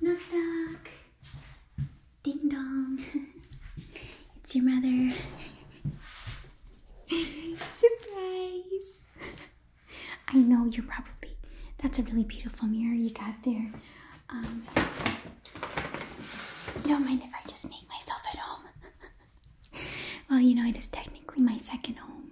Knock knock. Ding dong. it's your mother. Surprise. I know you're probably. That's a really beautiful mirror you got there. Um, you don't mind if I just make myself at home? well, you know, it is technically my second home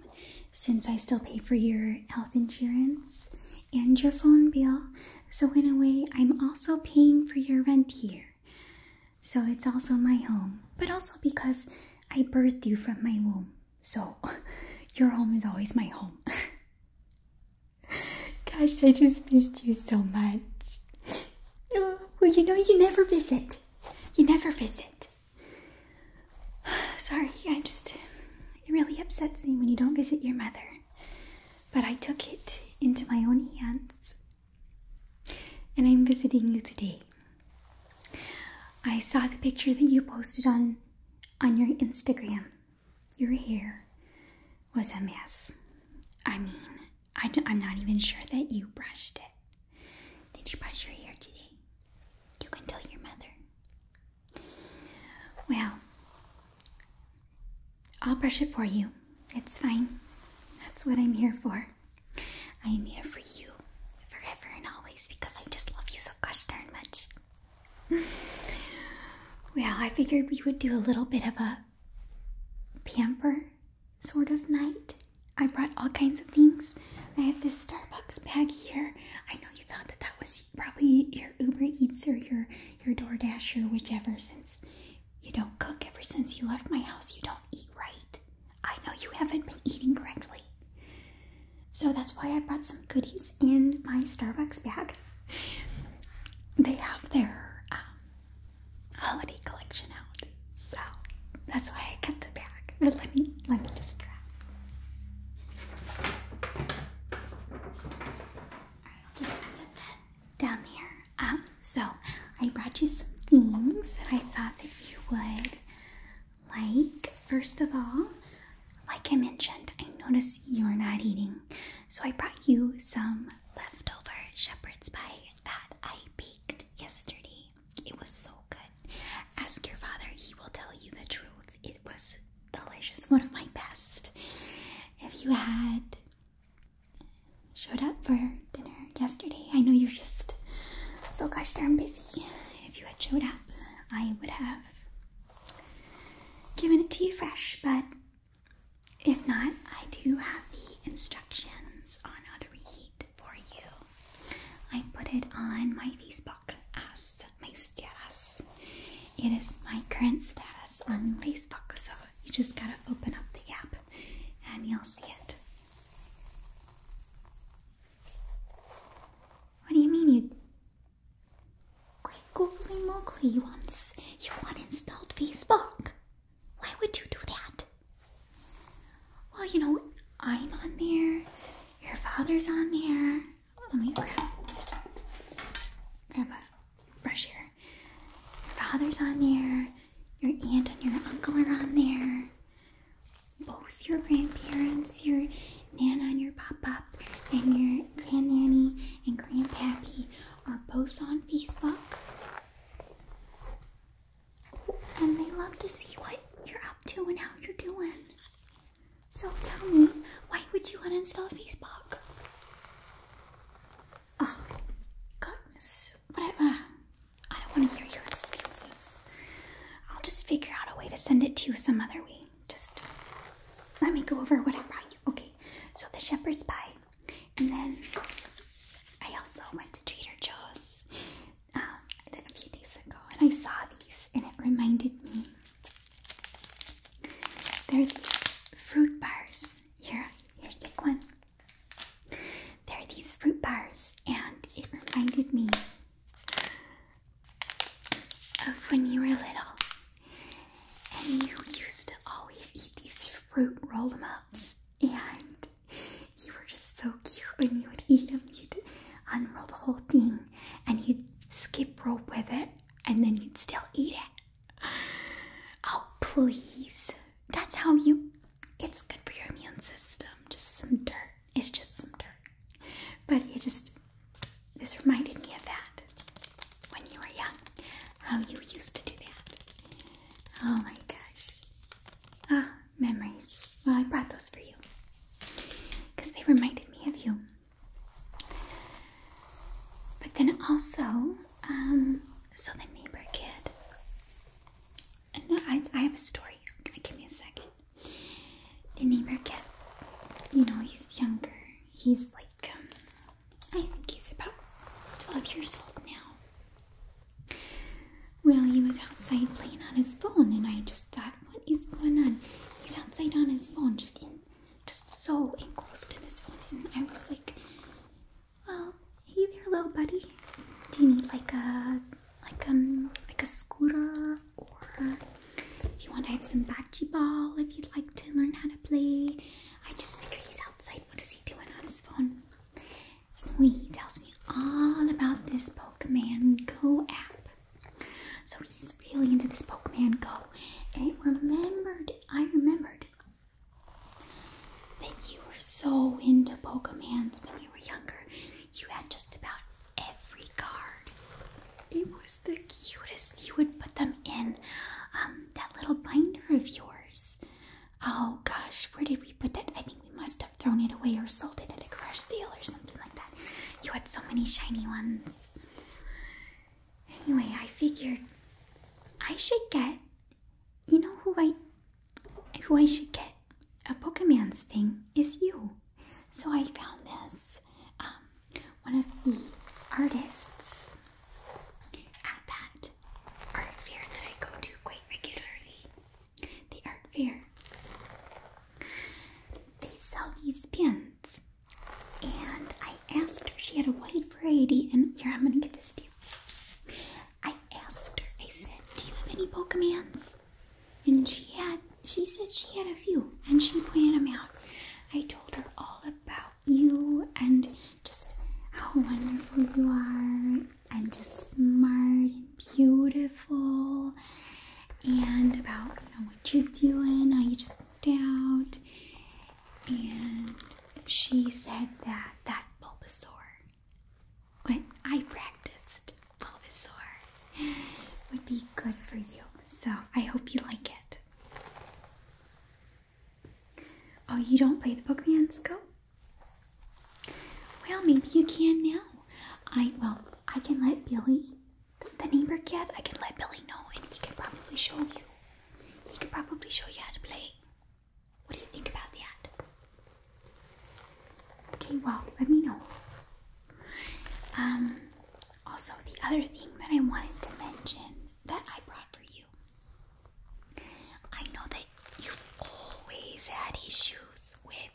since I still pay for your health insurance and your phone bill. So, in a way, I'm also paying for your rent here. So, it's also my home, but also because I birthed you from my womb. So, your home is always my home. Gosh, I just missed you so much. Oh, well, you know, you never visit. You never visit. Sorry, I just. It really upsets me when you don't visit your mother. But I took it into my own hands. And I'm visiting you today. I saw the picture that you posted on on your Instagram. Your hair was a mess. I mean, I am not even sure that you brushed it. Did you brush your hair today? You can tell your mother. Well, I'll brush it for you. It's fine. That's what I'm here for. I am here for you forever and always because I just love you so gosh much. well, I figured we would do a little bit of a pamper sort of night. I brought all kinds of things. I have this Starbucks bag here. I know you thought that that was probably your Uber Eats or your your DoorDash or whichever. Since you don't cook ever since you left my house, you don't eat right. I know you haven't been eating correctly. So that's why I brought some goodies in my Starbucks bag. They have their um, holiday collection out, so that's why I kept the bag. But let me let me just try down here. Um, so I brought you some things that I thought that you would like. First of all, like I mentioned, I noticed you're not eating, so I brought you some leftover shepherd's pie that I baked yesterday. It was so good. Ask your father; he will tell you the truth it was delicious, one of my best. If you had showed up for dinner yesterday, I know you're just so gosh darn busy. If you had showed up, I would have given it to you fresh, but if not, I do have the instructions on how to reheat for you. I put it on my Facebook as my status. It is my current status on Facebook, so you just gotta open up the app and you'll see it. What do you mean you Great googly moogly once you uninstalled Facebook? Why would you do that? Well, you know, I'm on there, your father's on there, let me grab, grab a brush here. Your father's on there, your aunt and your uncle are on there, both your grandparents, your nana and your pop up, and your grandnanny and grandpappy are both on Facebook. and they love to see what you're up to and how you're doing. So tell me, why would you want to install Facebook? Oh, goodness. Whatever. I don't want to hear your excuses. I'll just figure out a way to send it to you some other way. Just let me go over what I brought you. Okay, so the shepherd's pie. And then I also went to Trader Joe's um, a few days ago and I saw these and it reminded me there are these fruit bars. Here, here, take one. There are these fruit bars, and it reminded me of when you were little and you used to always eat these fruit roll ups, and you were just so cute when you would eat them. You'd unroll the whole thing and you'd skip rope with it, and then you'd still eat it. Oh, please. That's how you. It's good for your immune system. Just some dirt. It's just some dirt. But it just. This reminded me of that when you were young. How you used to do that. Oh my gosh. Ah, memories. Well, I brought those for you because they reminded me of you. But then also, um, so the neighbor kid, I, I have a story. Give me a second. The neighbor kid, you know, he's younger. He's like, um, I think he's about 12 years old now. Well, he was outside playing on his phone, and I just thought, what is going on? He's outside on his phone, just just so engrossed in his phone, and I was like, "Well, hey there, little buddy. Do you need like a like um like a scooter, or if you want to have some bocce ball, if you'd like to learn how to play? I just figured he's outside. What is he doing on his phone?" Anyway, he tells me all about this Pokemon Go app. So he's really into this Pokemon Go. And remembered, I remembered that you were so into Pokemons when you were younger. You had just about every card. It was the cutest. You would put them in um, that little binder of yours. Oh gosh, where did we put that? I think we must have thrown it away or sold it at a garage sale or something like that. You had so many shiny ones. Anyway, I figured I should get you know who I who I should get a Pokemon's thing is you. So I found this um, one of the artists at that art fair that I go to quite regularly. The art fair. They sell these pins and I asked her, she had a wide variety, and here I'm gonna get this to I asked her, I said, Do you have any Pokemans? And she had she said she had a few and she pointed them out. I told her all about you and just how wonderful you are and just smart and beautiful and about you know what you're doing, how you just out, and she said that that Bulbasaur, when I practiced Bulbasaur, would be good for you. So I hope you like it. Oh, you don't play the Pokemon Go? Well, maybe you can now. I well, I can let Billy the, neighbor cat, I can let Billy know and he can probably show you. He could probably show you how to play. What do you think about that? Okay, well, let me know. Um, also, the other thing that I wanted to mention that I brought for you. I know that you've always had issues with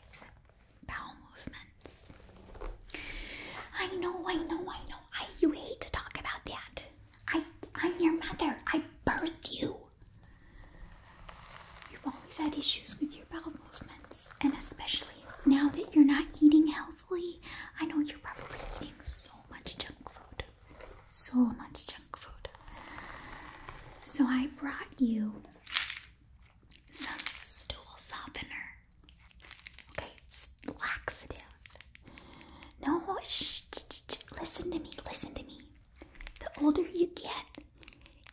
bowel movements. I know, I know, I know, I you hate to talk about that. I I'm your mother. I birthed you. You've always had issues with your bowel movements, and especially now that you're not eating healthily, I know you're probably eating so much junk food. So much junk food. So I brought you some stool softener. Okay, laxative. No, shh, listen to me, listen to me. The older you get,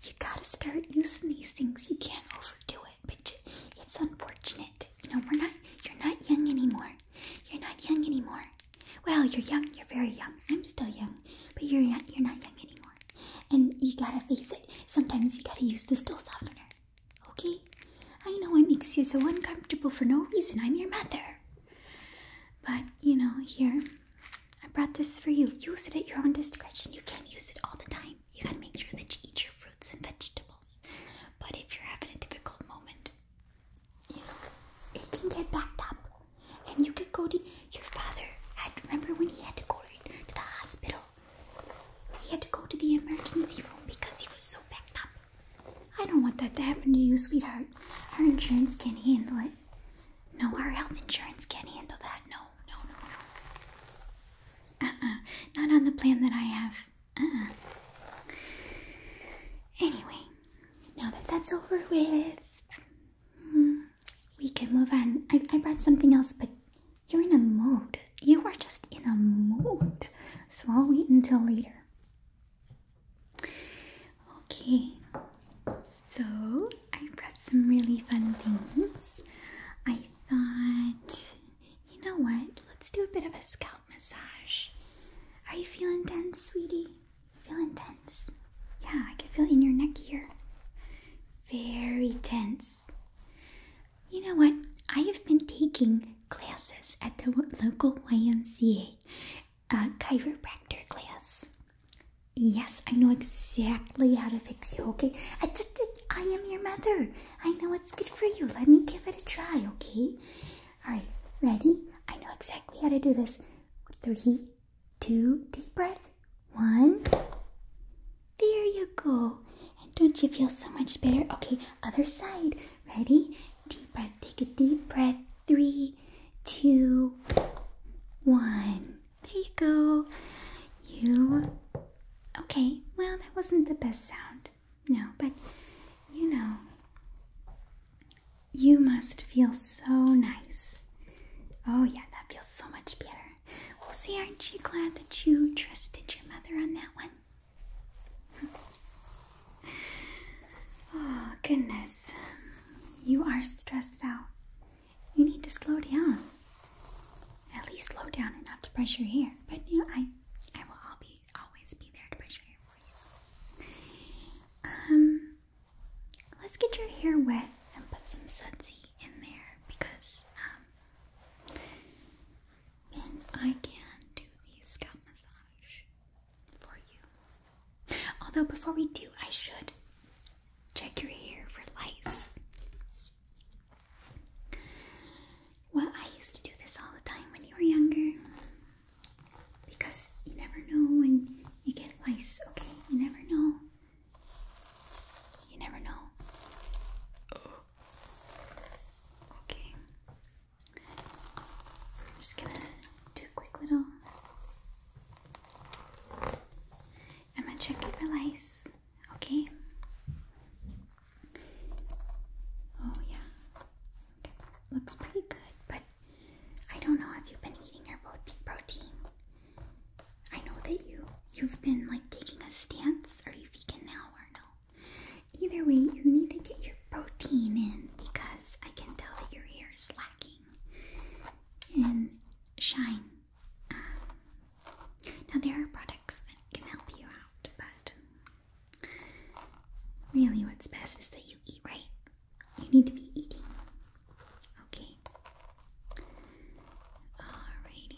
you gotta start using these things. You can't overdo it, but it's unfortunate. You know, we're not, you're not young anymore. You're not young anymore. Well, you're young, you're very young. I'm still young, but you're, young, you're not young anymore. And you gotta face it. Sometimes you gotta use the stool softener. Okay? I know it makes you so uncomfortable for no reason. I'm your mother. But, you know, here, I brought this for you. Use it at your own discretion. You can't use it all the time. You gotta make sure that you eat your fruits and vegetables. But if you're having a difficult moment, you know, it can get backed up. And you could go to your father. Had remember when he had to go to the hospital? He had to go to the emergency room because he was so backed up. I don't want that to happen to you, sweetheart. Our insurance can't handle it. No, our health insurance can't handle that. No, no, no, no. Uh-uh. Not on the plan that I have. uh Anyway, now that that's over with, hmm, we can move on. I, I brought something else, but you're in a mood. You were just in a mood. So I'll wait until later. Okay, so I brought some really fun things. I thought, you know what? Let's do a bit of a scalp massage. Are you feeling tense, sweetie? Feeling tense? Yeah, I can feel it in your neck here. Very tense. You know what? I have been taking classes at the local YMCA a uh, chiropractor class. Yes, I know exactly how to fix you, okay? I just, I am your mother. I know it's good for you. Let me give it a try, okay? All right, ready? I know exactly how to do this. Three, two, deep breath. One. There you go. And don't you feel so much better? Okay, other side. Ready? Deep breath. Take a deep breath. Three, two, one. There you go. You. Okay, well, that wasn't the best sound. No, but you know, you must feel so nice. Oh, yeah, that feels so much better. Well, see, aren't you glad that you trusted your mother on that one? oh, goodness. You are stressed out. You need to slow down. At least slow down enough to brush your hair. But you know, I, I will always be there to brush your hair for you. Um, let's get your hair wet and put some sudsy in there because um, and I can do the scalp massage for you. Although, before we do, I should check your hair for lice. Well, I used to do this all the time when you were younger because you never know when you get lice, okay? You never know. You never know. Oh. Okay. I'm just gonna do a quick little. I'm gonna check it for lice, okay? Oh, yeah. Looks pretty good, but I don't know if you've been eating your protein. I know that you you've been like taking a stance. Are you vegan now or no? Either way, you need to get your protein in because I can tell that your hair is lacking in shine. Um, now, there are products that can help you out, but really, what's best is that you eat right. You need to be eating. Okay. Alrighty.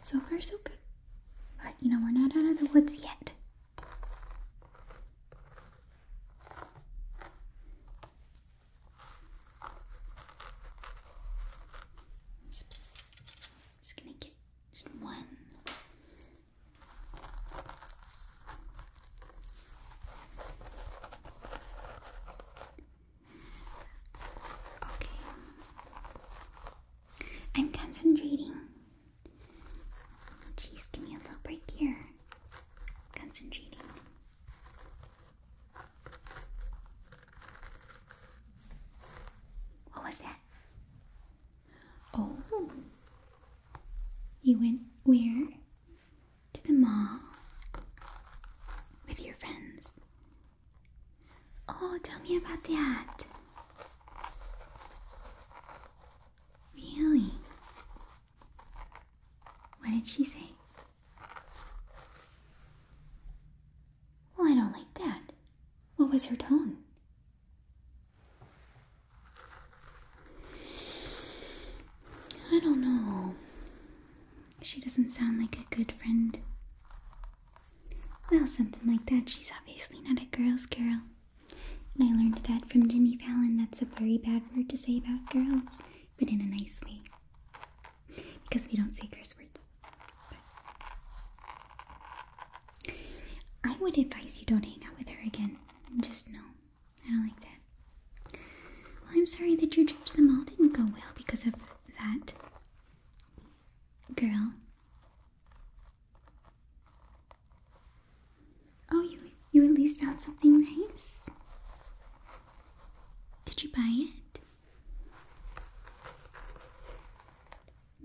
So far, so good. But you know, we're not out of the woods yet. just gonna get just one. Okay. I'm concentrating. Jeez, give me a little break here. Concentrating. What was that? Oh, you went where? to the mall with your friends. Oh, tell me about that. Really? What did she say? Well, I don't like that. What was her tone? I don't know. She doesn't sound like a good friend. Well, something like that. She's obviously not a girl's girl. And I learned that from Jimmy Fallon. That's a very bad word to say about girls, but in a nice way. Because we don't say curse words. I would advise you don't hang out with her again. Just no. I don't like that. Well, I'm sorry that your trip to the mall didn't go well because of that girl. Oh, you you at least found something nice. Did you buy it?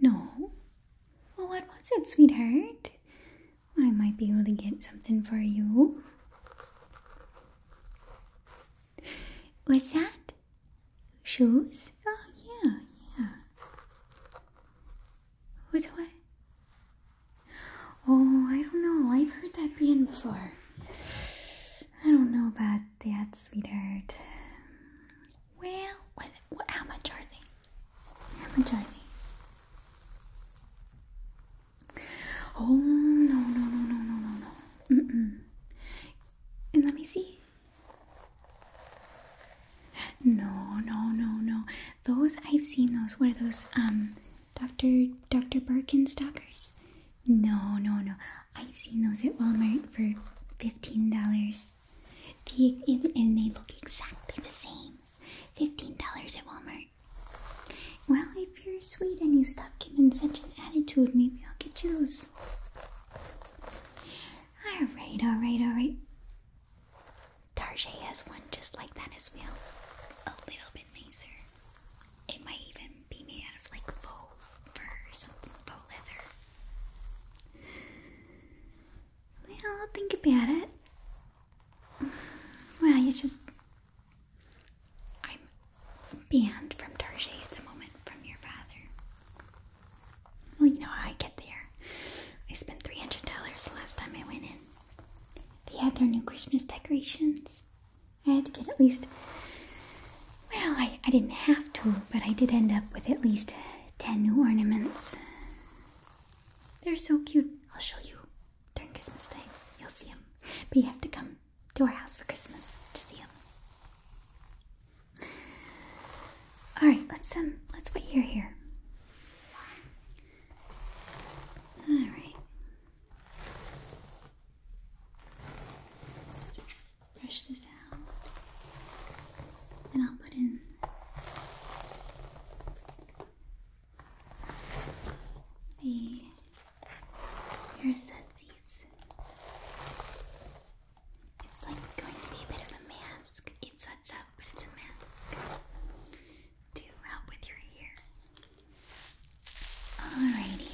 No. Well, what was it, sweetheart? I might be able to get something for you. What's that? Shoes? Oh, yeah, yeah. What's what? Oh, I don't know. I've heard that brand before. I don't know about that, sweetheart. Well, what, what, how much are they? How much are they? Oh no no no no no no no. Mm -mm. And let me see. No no no no. Those I've seen those. What are those? Um, Doctor Doctor Birkin stalkers? No no no. I've seen those at Walmart for fifteen dollars. The and they look exactly the same. Fifteen dollars at Walmart. Well, if you're sweet and you stop giving such an attitude, maybe I'll get yours. Alright, alright, alright. Tarjay has one just like that as well. A little bit nicer. It might even be made out of like faux fur or something, faux leather. Well, think about it. Well, you just I'm banned from Tarjay at the moment from your father. Well, you know how I get there. I spent $300 the last time I went in. They had their new Christmas decorations. I had to get at least, well, I, I didn't have to, but I did end up with at least 10 new ornaments. They're so cute. I'll show you during Christmas day. You'll see them. But you have to come to our house for Christmas to see you. All right, let's um, let's put your here. All brush this out, and I'll put in. The hair setsy. It's like going to be a bit of a mask. It sets up, but it's a mask to help with your hair. Alrighty.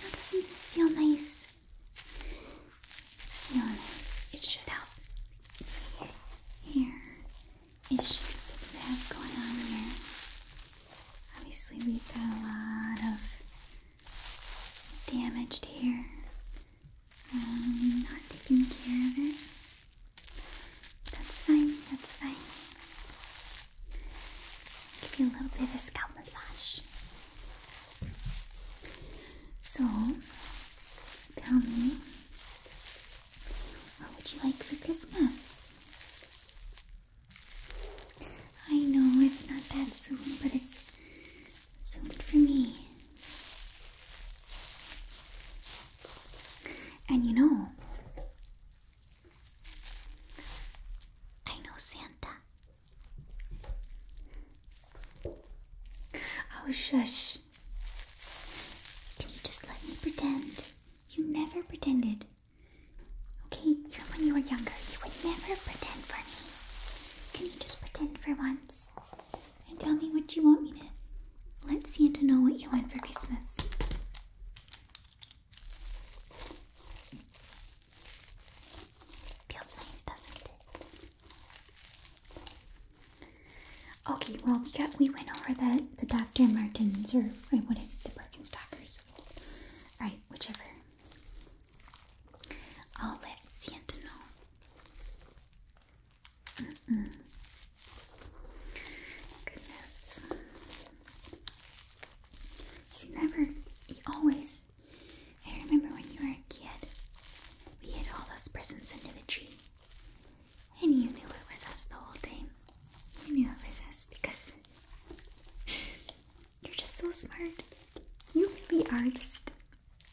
Now doesn't this feel nice? It's feel nice. It should help. Hair issues that you have going on here. Obviously, we've got a lot of damaged hair. Um, not taking care of it. That's fine, that's fine. Give you a little bit of a scalp massage. So, tell me, what would you like for Christmas? I know it's not that soon, but it's soon for me. And you know, I know Santa. Oh, shush. Can you just let me pretend? You never pretended. Okay, even when you were younger, you would never pretend for me. Can you just pretend for once? And tell me what you want me to let Santa know what you want for Christmas. Feels nice, doesn't it? Okay, well we got we went over the the Dr. Martens or what is it, the Birkenstockers. Alright, whichever. I'll let Sienta know. Mm -mm. Goodness. You never, you always. I remember when you were a kid, we hid all those presents under the tree. And you knew it was us the whole time. You knew it was us because you're just so smart. You really are just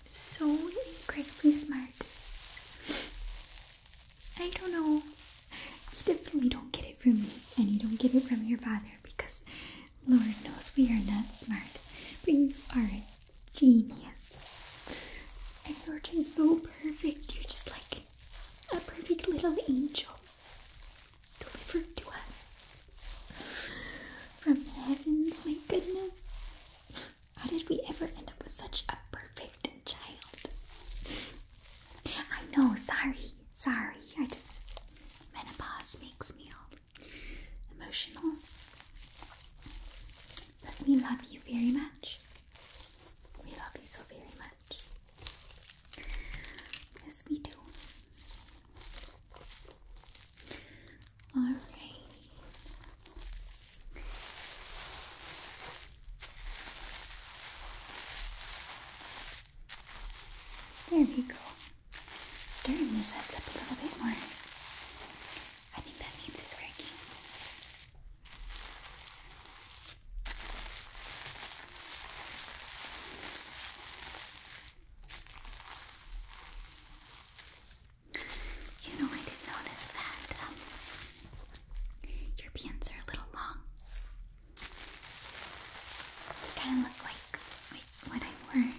so incredibly smart. I don't know. You definitely don't get it from me, and you don't get it from your father because Lord knows we are not smart. But you are a genius. And you're just so perfect. You're just like a perfect little angel delivered to us from the heavens, my goodness. How did we ever end up with such a perfect child? I know, sorry, sorry. I just, menopause makes me all emotional. But we love you very much. We love you so very much. Yes, we do. Alright. There we go. Stirring these heads up a little bit more. I think that means it's working. You know, I did notice that um, your pants are a little long. kind of look like what I wore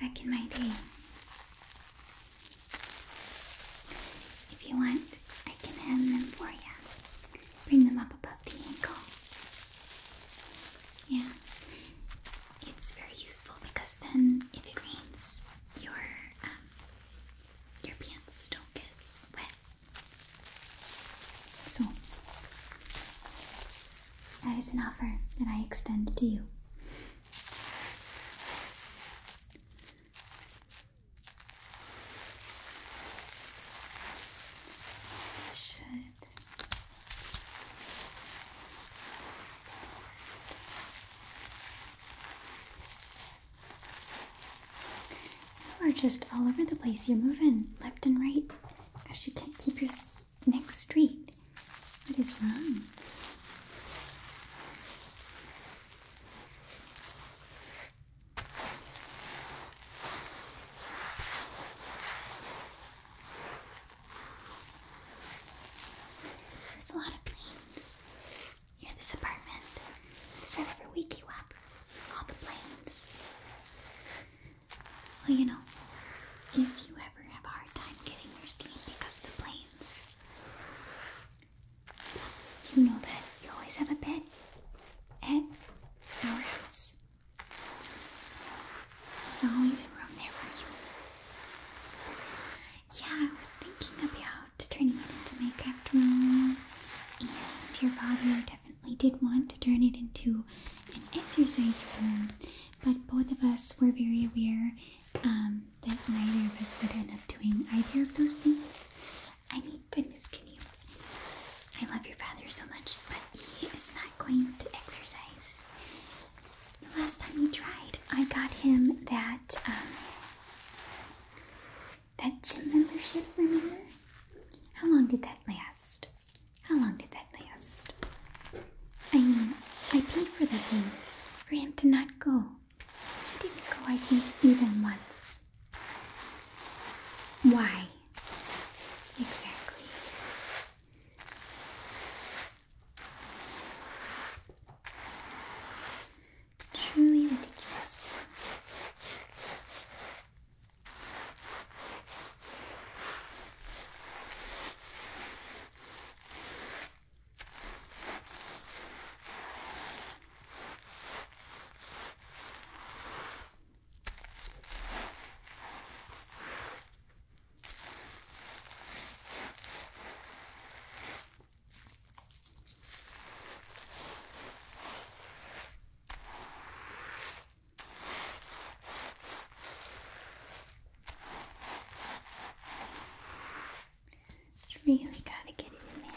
back in my day. If you want, I can hem them for you. Bring them up above the ankle. Yeah. It's very useful because then if it rains, your um, your pants don't get wet. So that is an offer that I extend to you it. You are just all over the place. You're moving left and right. you can't keep your neck straight. What is wrong? There's a lot of planes near this apartment. Does that you up? All the planes. Well, you know, if you ever have a hard time getting your sleep because of the planes, you know that you always have a bed at our house. There's always a room there for you. Yeah, I was thinking about turning it into craft room, and your father definitely did want to turn it into an exercise room, but both of us were very aware um, that neither of us would end up doing either of those things. I mean, goodness, can you I love your father so much, but he is not going to exercise. The last time he tried, I got him that um, that gym membership. Remember? How long did that last? How long did that last? I I paid for that thing for him to not go. He didn't go, I think, even once. Why? Exactly. Truly ridiculous. Just really gotta get it in there.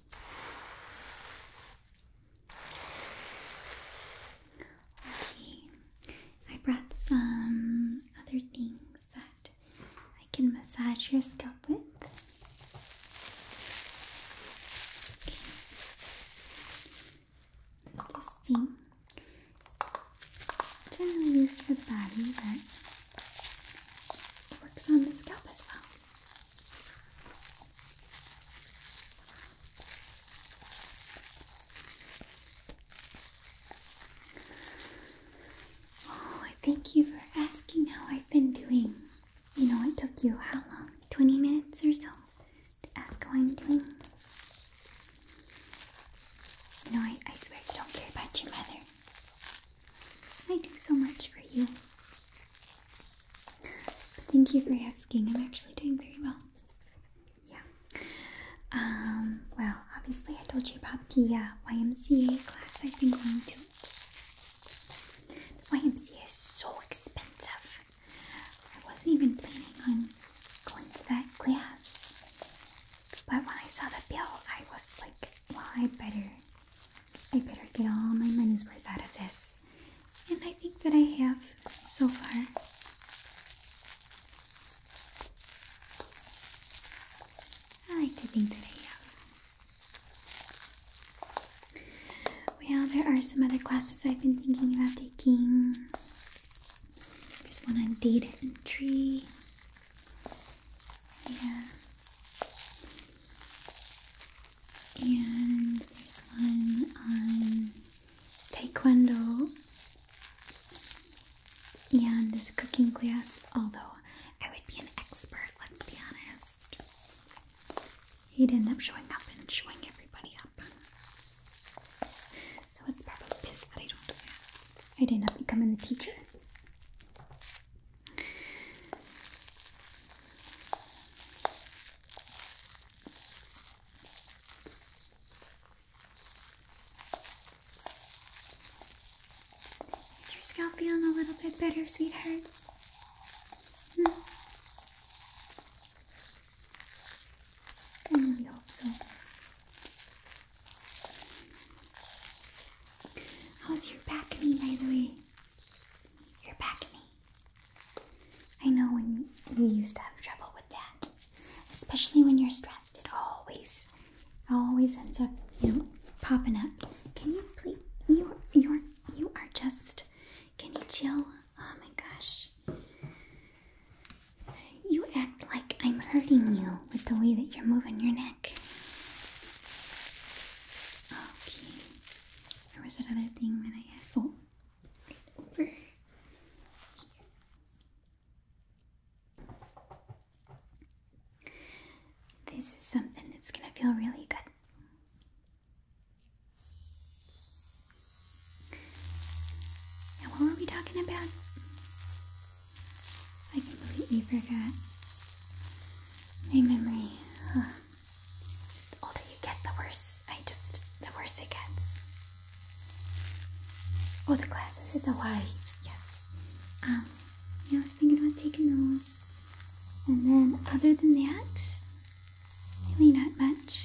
Okay, I brought some other things that I can massage your scalp with. This thing generally used for the body, but it works on the scalp as well. Oh, thank you for asking how I've been doing. You know, it took you how long? 20 minutes or so to ask how I'm doing. You know, I, I swear you don't care about your mother. I do so much for you. Thank you for asking. I'm actually doing very well. Yeah. Um, well, obviously, I told you about the uh, YMCA class I've been going to. The YMCA is so expensive. I wasn't even planning on going to that class. But when I saw the bill, I was like, well, I better I better get all my money's worth out of this. And I think that I have so far. I like to think that I have. Well, there are some other classes I've been thinking about taking. There's one on data entry. Yeah. And there's one on Taekwondo. And there's a cooking class, although I would be an expert, let's be honest. He'd end up showing up and showing everybody up. So it's probably best that don't do that. I'd end up becoming the teacher. Is your scalp feeling a little bit better, sweetheart? Hmm. I hope so. How's your back me, by the way? Your back knee. I know when you used to have trouble with that, especially when you're stressed. It always, always ends up, you know, popping up. Can you please? You, you're, you are just. Can you chill? Oh my gosh. You act like I'm hurting you with the way that you're moving your neck. Okay. There was another thing that I had. Oh, right over here. This is something that's going to feel really good. Now, what were we talking about? I completely forgot. My memory. The older you get, the worse I just the worse it gets. Oh, the glasses in Hawaii. Yes. Um, yeah, I was thinking about taking those. And then, other than that, really not much.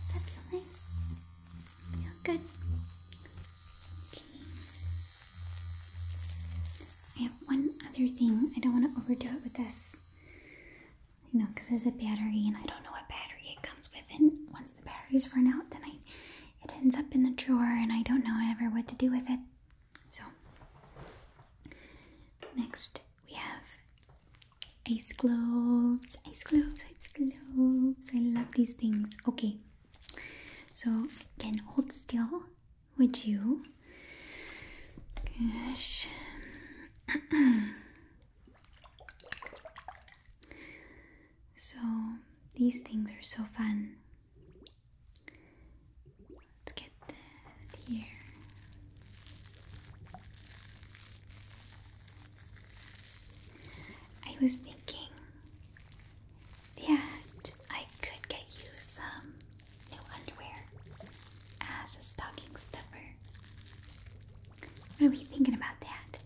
Does that feel nice? Feel good? Okay. I have one other thing. I don't want to overdo it with this. You know, because there's a battery and I don't know what battery it comes with. And once the batteries run out, then I it ends up in the drawer and I don't know ever what to do with it. So next we have ice gloves. ice gloves. ice gloves. I love these things. Okay. So can hold still, would you? So these things are so fun. Let's get that here. I was thinking that I could get you some new underwear as a stocking stuffer. What are thinking about that?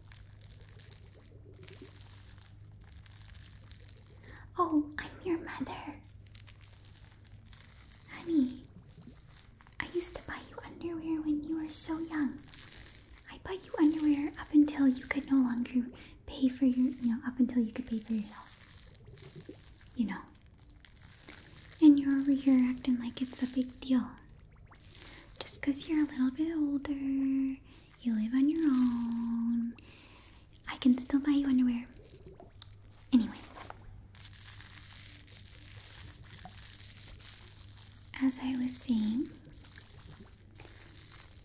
Oh, I'm your mother. Honey, I used to buy you underwear when you were so young. I bought you underwear up until you could no longer pay for your, you know, up until you could pay for yourself. You know. And you're over here acting like it's a big deal. Just because you're a little bit older, you live on your own, I can still buy you underwear. Anyway, as I was saying,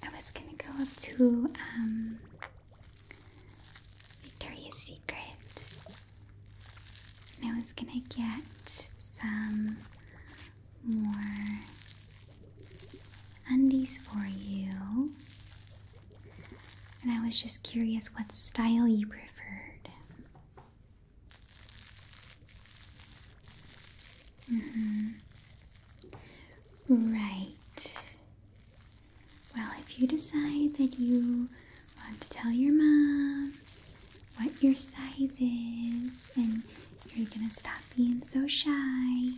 I was gonna go up to um, Victoria's Secret and I was gonna get some more undies for you. And I was just curious what style you preferred. Mm-hmm. Right. Well, if you decide that you want to tell your mom what your size is, and you're gonna stop being so shy.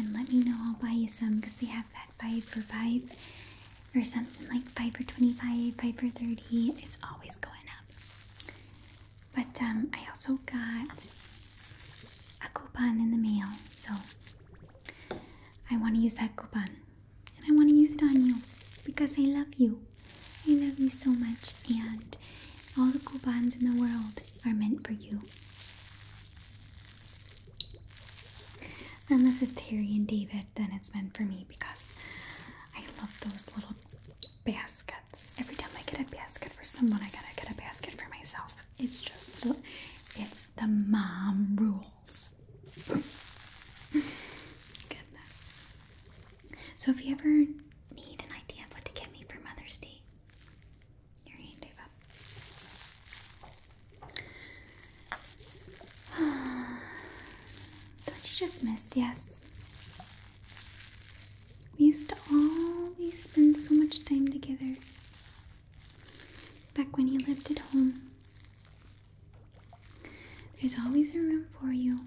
And let me know, I'll buy you some because they have that five for five or something like five for 25, five for 30. It's always going up. But um, I also got a coupon in the mail, so I want to use that coupon and I want to use it on you because I love you. I love you so much, and all the coupons in the world are meant for you. Unless it's Harry and David, then it's meant for me because I love those little baskets. Every time I get a basket for someone, I gotta get a basket for myself. It's just, it's the mom rules. So if you ever need an idea of what to get me for Mother's Day, your hand, Ava. Don't you just miss yes? We used to always spend so much time together. Back when you lived at home. There's always a room for you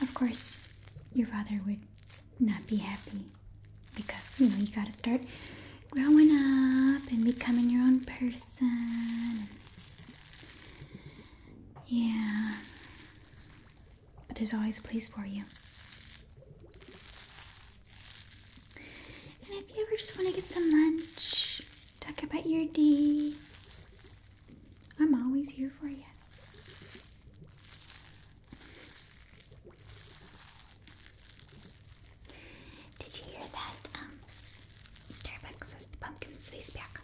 of course, your father would not be happy because you know you gotta start growing up and becoming your own person. Yeah, but there's always a place for you. And if you ever just want to get some lunch, talk about your D. I'm always here for you. Did you hear that? Um, Starbucks has the pumpkin spice back.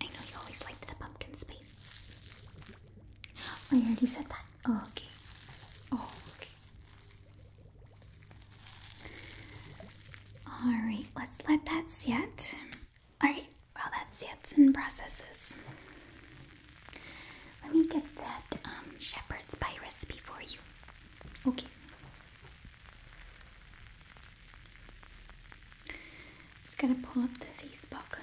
I know you always liked the pumpkin spice. I oh, already said that. Oh, okay. Oh, okay. All right, let's let that set. Alright, well, that's it and processes. Let me get that um, shepherd's pie recipe for you. Okay. Just gotta pull up the Facebook.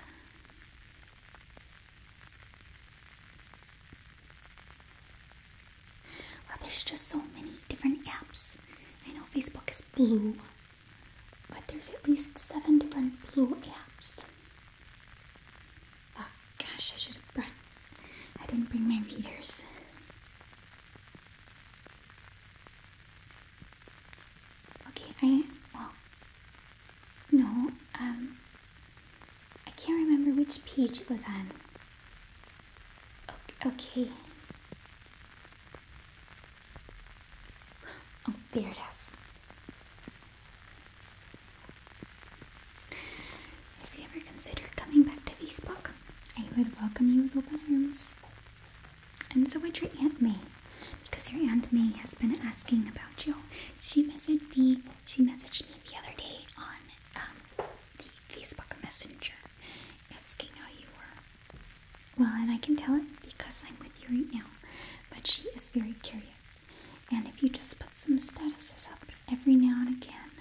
Well, there's just so many different apps. I know Facebook is blue, but there's at least seven different blue apps. Oh gosh, I should have brought. I didn't bring my readers. Okay, I. Well. No, um. I can't remember which page it was on. Okay. Oh, there it is. If you ever consider coming back to Facebook, I would welcome you with open arms. And so would your Aunt May, because your Aunt May has been asking about you. She messaged me. She messaged me the other day on um, the Facebook Messenger, asking how you were. Well, and I can tell it because I'm with you right now, but she is very curious. And if you just put some statuses up every now and again,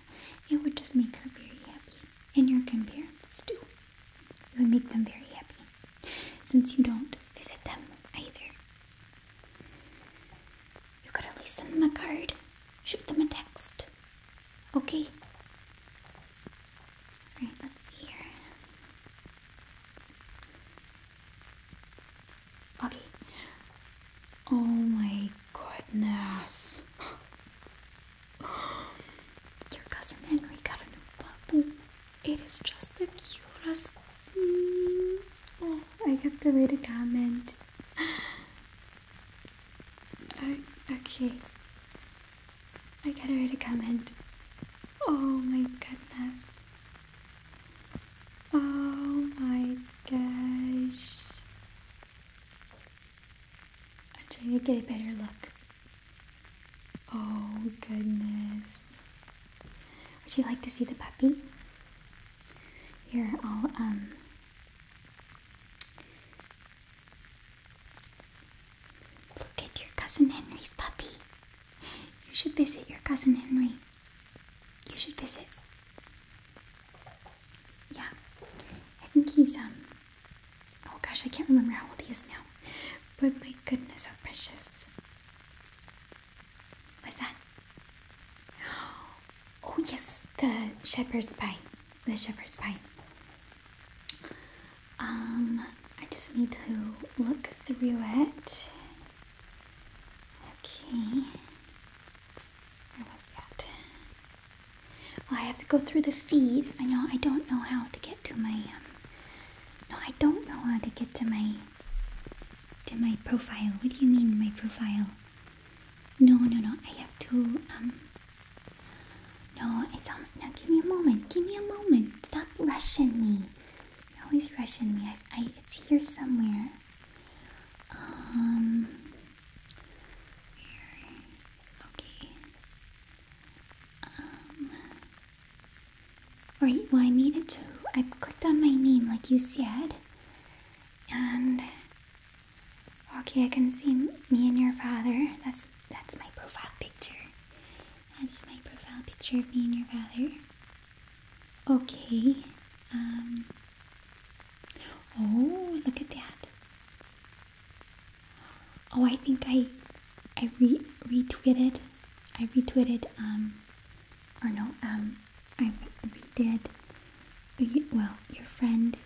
it would just make her very happy. And your grandparents too. It would make them very happy. Since you don't visit them either. You could at least send them a card, shoot them a text, Okay. Alright, let's see here. Okay. Oh my goodness. Your cousin Henry got a new puppy. It is just the cutest. Oh, I have the right a comment. okay. I gotta read a comment. Oh my goodness. Oh my gosh. I'm trying to get a better look. Oh goodness. Would you like to see the puppy? Here, I'll um Look at your cousin Henry's puppy. You should visit your cousin Henry. You should visit. Yeah, I think he's, um, oh gosh, I can't remember how old he is now. But my goodness, how oh precious. What's that? Oh, yes, the shepherd's pie. The shepherd's pie. Um, I just need to look through it. Okay. Where was that? Well, I have to go through the feed. I know I don't know how to get to my um, No, I don't know how to get to my to my profile. What do you mean my profile? No, no, no. I have to um, no, it's on. Um, now give me a moment. Give me a moment. Stop rushing me. always rushing me. I, I, it's here somewhere. Um. Here. Okay. Um. Right. Well, I needed to. I clicked on my name, like you said, and. Okay, I can see me and your father. That's that's my profile picture. That's my profile picture of me and your father. Okay. Um. Oh, look at that. Oh, I think I, I retweeted. I retweeted. Um. Or no. Um. I redid. well, your friend.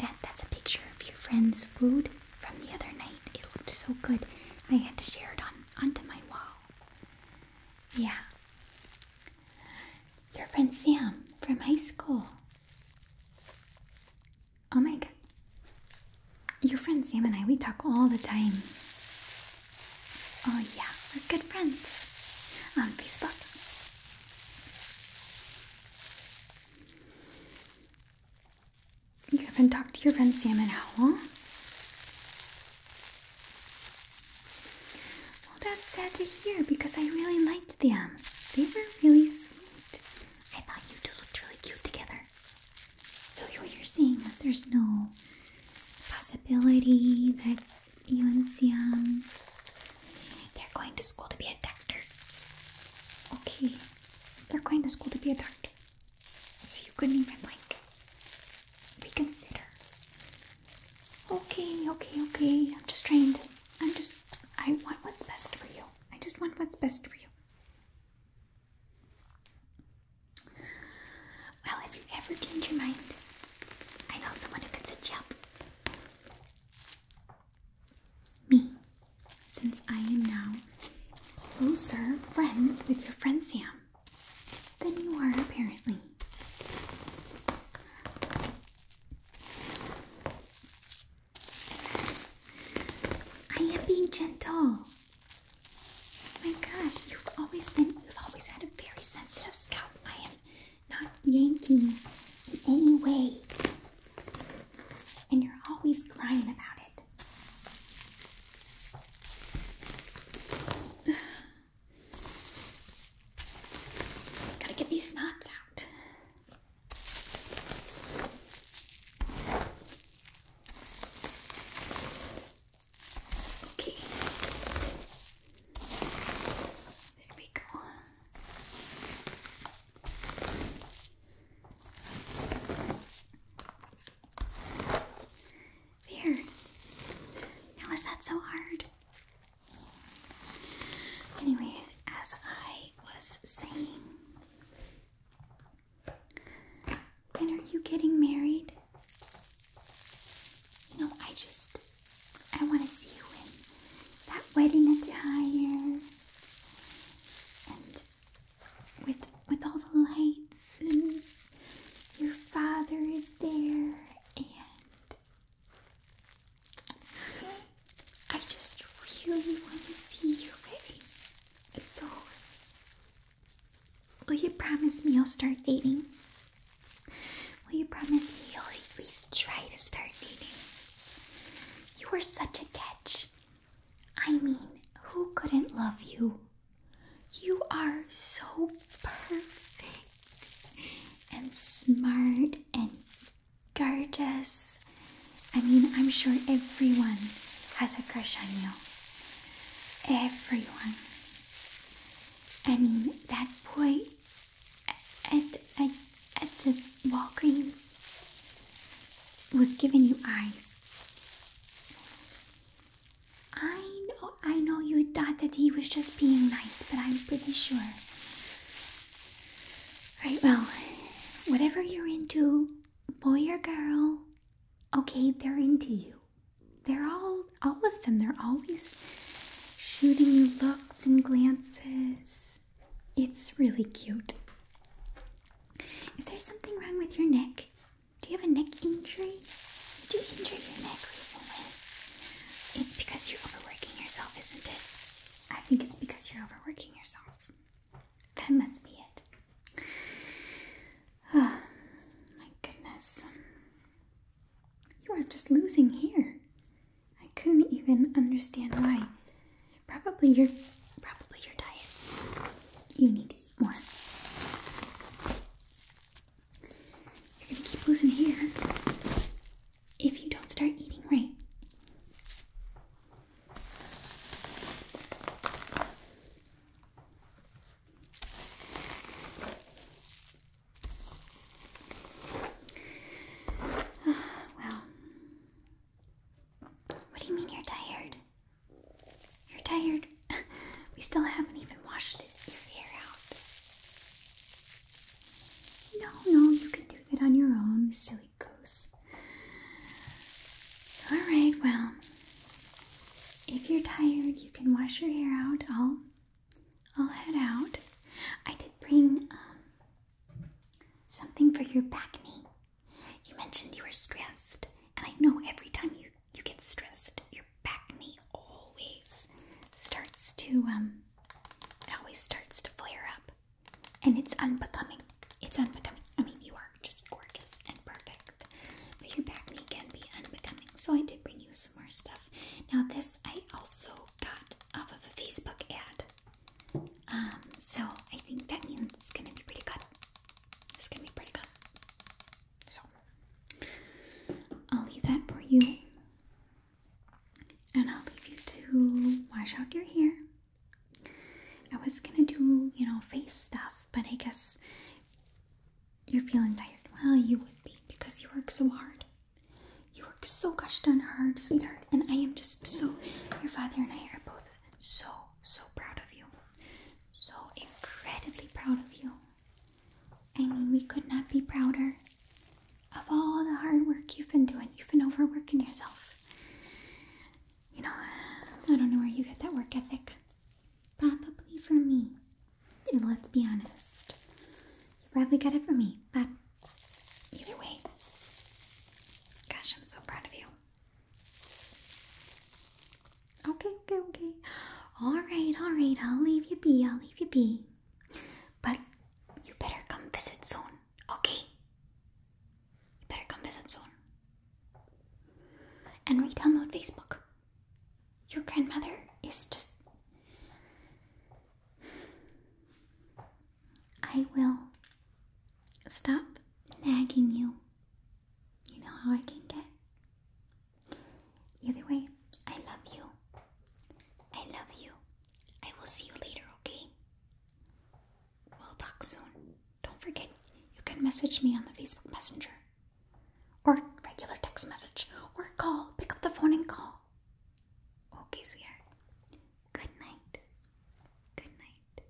That that's a picture of your friend's food from the other night. It looked so good. I had to share it on onto my wall. Yeah. Your friend Sam from high school. Oh my god. Your friend Sam and I, we talk all the time. Oh yeah, we're good friends on Facebook. You haven't talked to your friend Sam and how long? Well, that's sad to hear because I really liked them. They were really sweet. I thought you two looked really cute together. So, what you're saying is there's no possibility that you and Sam they're going to school to be a doctor. Okay, they're going to school to be a doctor. So you couldn't even like reconsider. Okay, okay, okay. I'm just trained. I'm just. I want what's best for you. I just want what's best for you. Well, if you ever change your mind, I know someone who can set you up. Me since I am now closer friends with your friend Sam than you are apparently. I am being gentle. Oh my gosh, you've always been, you've always had a very sensitive scalp. I am not yanking in any way. And you're always crying about it. Gotta get these knots out. Okay. There we go. There. Now, is that so hard? Anyway, as I was saying, when are you getting married? You know, I just, I want to see you in that wedding attire and with with all the lights and your father is there and I just really want to see you. wedding. So will you promise me you'll start dating? Will you promise me you'll at least try to start dating? You are such a catch. I mean, who couldn't love you? You are so perfect and smart and gorgeous. I mean, I'm sure everyone has a crush on you. Everyone. I mean, that boy at, at, at the Walgreens was giving you eyes. I know, I know you thought that he was just being nice, but I'm pretty sure. Right, well, whatever you're into, boy or girl, okay, they're into you. They're all, all of them, they're always shooting you looks and glances. It's really cute. Is there something wrong with your neck? Do you have a neck injury? Did you injure your neck recently? It's because you're overworking yourself, isn't it? I think it's because you're overworking yourself. That must be it. Oh, my goodness. You are just losing here. I couldn't even understand why Probably your probably your diet. You need to eat more. You're gonna keep losing hair if you don't start eating right. well, what do you mean you're tired? You're tired. we still haven't even washed it, your hair out. No, no, you can do that on your own, silly goose. Alright, well, if you're tired, you can wash your hair out. I'll, I'll head out. I did bring um, something for your back knee. You mentioned you were stressed, and I know every time you you get stressed, your back knee always starts to um it always starts to flare up. And it's unbecoming. It's unbecoming. I mean you are just gorgeous and perfect. But your back knee can be unbecoming. So I did bring you some more stuff. Now this I also got off of a Facebook ad. Um, so I think that means it's gonna be pretty good. This can be pretty good. So I'll leave that for you. And I'll leave you to wash out your hair. I was gonna do, you know, face stuff, but I guess you're feeling tired. Well, you would be because you work so hard. You work so gosh darn hard, sweetheart. And I am just so, your father and I are both so, so proud of you. So incredibly proud of you. I mean, we could not be prouder of all the hard work you've been doing. You've been overworking yourself. You know, I don't know where you get that work ethic. Probably from me. And let's be honest. You probably got it from me, but either way. Gosh, I'm so proud of you. Okay, okay, okay. Alright, alright, I'll leave you be, I'll leave you be. But you better come visit soon, okay? You better come visit soon. And re download Facebook. Your grandmother is just. I will Stop nagging you. You know how I can get. Either way, I love you. I love you. I will see you later, okay? We'll talk soon. Don't forget, you can message me on the Facebook Messenger, or regular text message, or call. Pick up the phone and call. Okay, sweetheart. Good night. Good night.